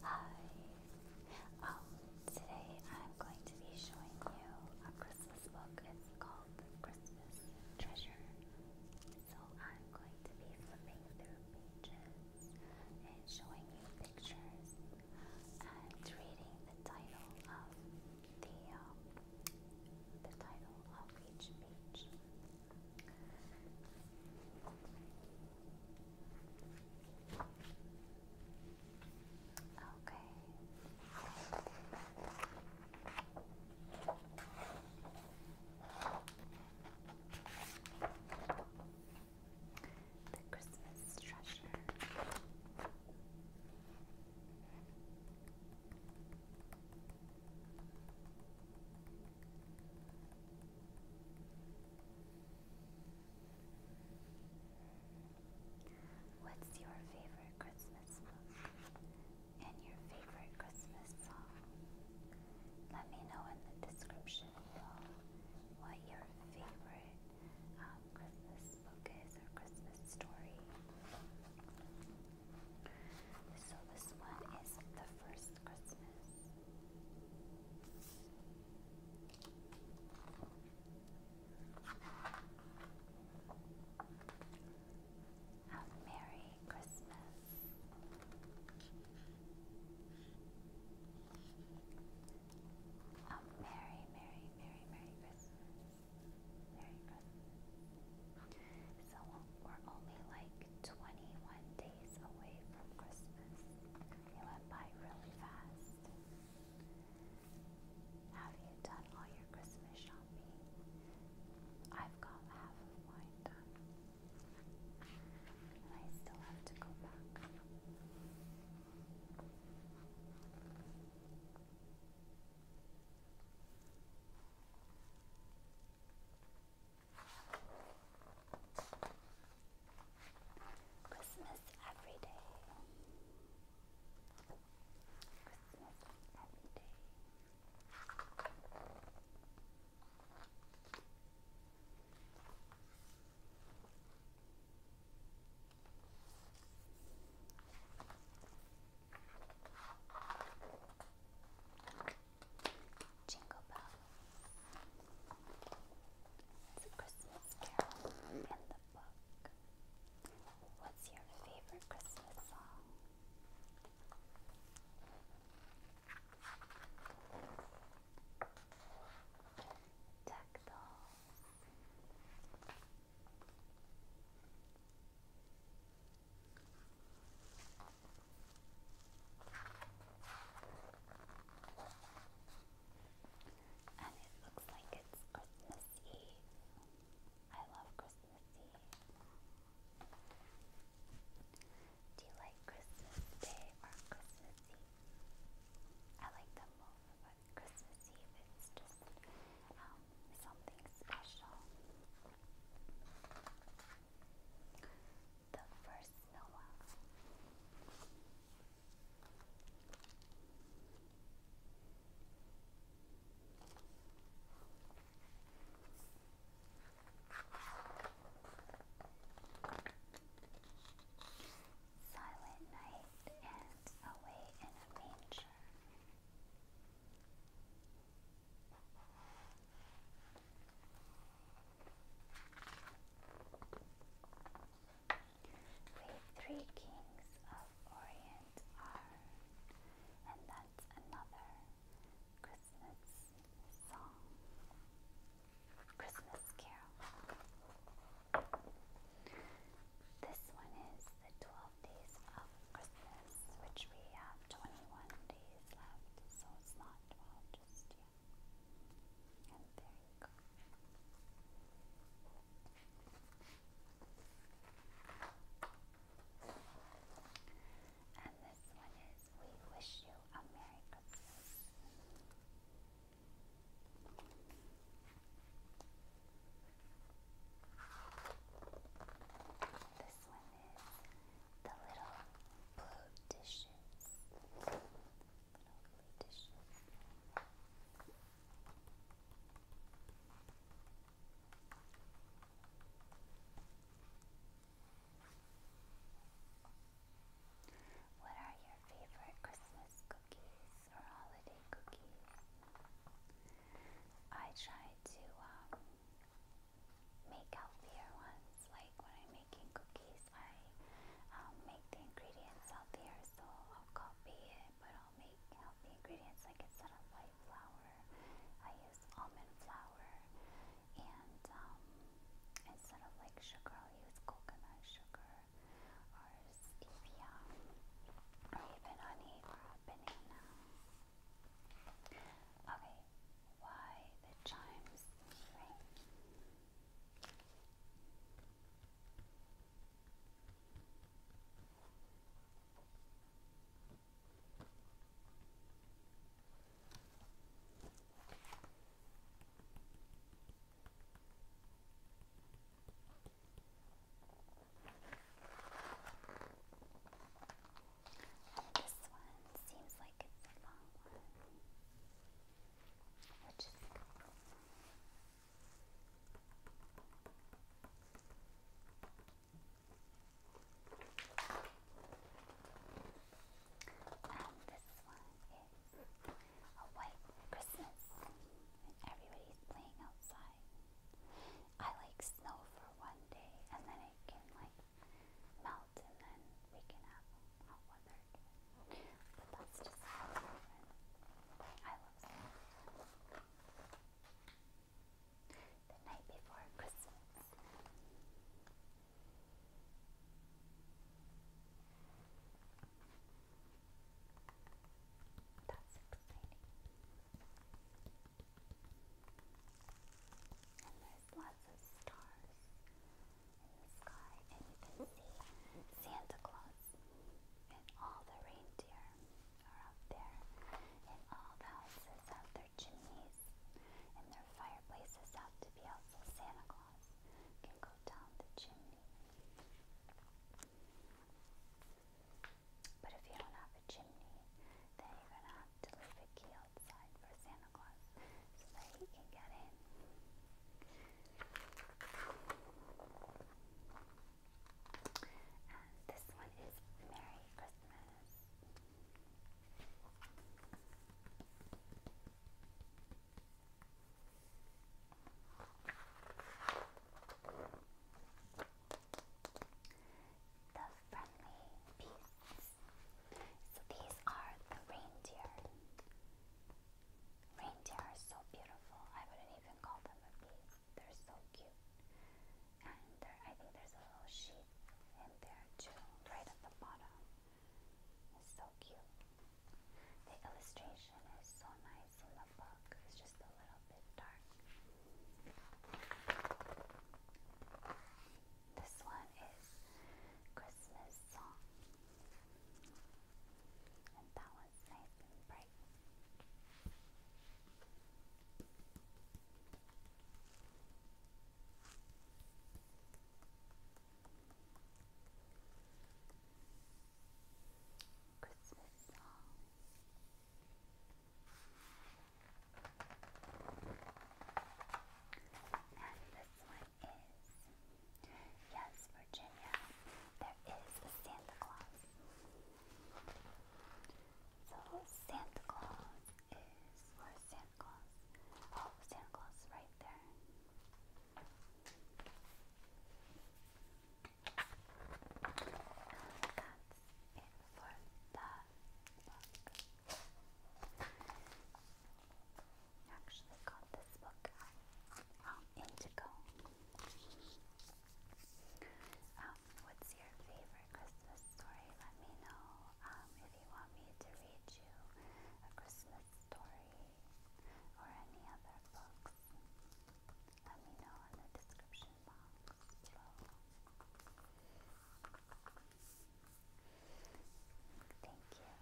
Hi. Um, today I'm going to be showing you a Christmas book. It's called The Christmas Treasure. So I'm going to be flipping through pages and showing you pictures and reading the title of the um, the title of each page. Okay. The Christmas treasure. What's your favorite Christmas book and your favorite Christmas song? Let me know in the description below what your favorite um, Christmas book is or Christmas story. So this one is the first Christmas. Have Merry Christmas. A Merry, Merry, Merry, Merry Christmas. So we're only like 21 days away from Christmas. It went by really fast. Have you done all your Christmas shopping? I've got half of mine done. And I still have to go back. Christmas every day. Christmas every day. Jingle Bells. It's a Christmas carol in the book. What's your favorite Christmas song? Duck dolls. And it looks like it's Christmas Eve. I love Christmas Eve. Do you like Christmas Day or Christmas Eve? I like them both, but Christmas Eve is just um, something special. The first Noah. Silent Night and Away in a Manger. The three kings of Orient are, and that's another Christmas song, Christmas carol. This one is the 12 days of Christmas, which we have 21 days left, so it's not 12 just yet. And there you go. And this one is We Wish You a Merry Christmas. This one is the little blue dishes. Little blue dishes. What are favorite Christmas cookies or holiday cookies. I try to um, make healthier ones. Like when I'm making cookies, I um, make the ingredients healthier, so I'll copy it, but I'll make the ingredients like instead of white flour, I use almond flour and um, instead of like sugar, i use coconut sugar or stevia or even honey or a Okay, why the chimes ring? And this one seems like it's a long one, which is cool. All and this one is a white Christmas. And everybody's playing outside. I like snow for one day and then it can like melt and then we can have hot weather again. But that's just how I love snow. The night before Christmas. That's exciting. And there's lots of stars in the sky, and you can see Santa Claus and all the reindeer are up there and all the houses have their chimneys, and their fireplaces have to be out Santa Claus can go down the chimney. But if you don't have a chimney, then you're going to have to leave a key outside for Santa Claus so that he can get in. And this one is Merry Christmas. The friendly beasts. So these are the reindeer. Reindeer are so beautiful. I wouldn't even call them a beast. They're so cute. And I think there's a little sheep in there too, right at the bottom. It's so cute. The illustration is so nice in the book. It's just a little bit dark. This one is Christmas song. And that one's nice and bright. Christmas song. And this one is Yes, Virginia, there is a Santa Claus. So Santa Claus is where's Santa Claus? Oh, Santa Claus is right there. that's it for that book. I actually got this book out um, um, what's your favorite Christmas story? Let me know um, if you want me to read you a Christmas story or any other books. Let me know in the description box Thank you.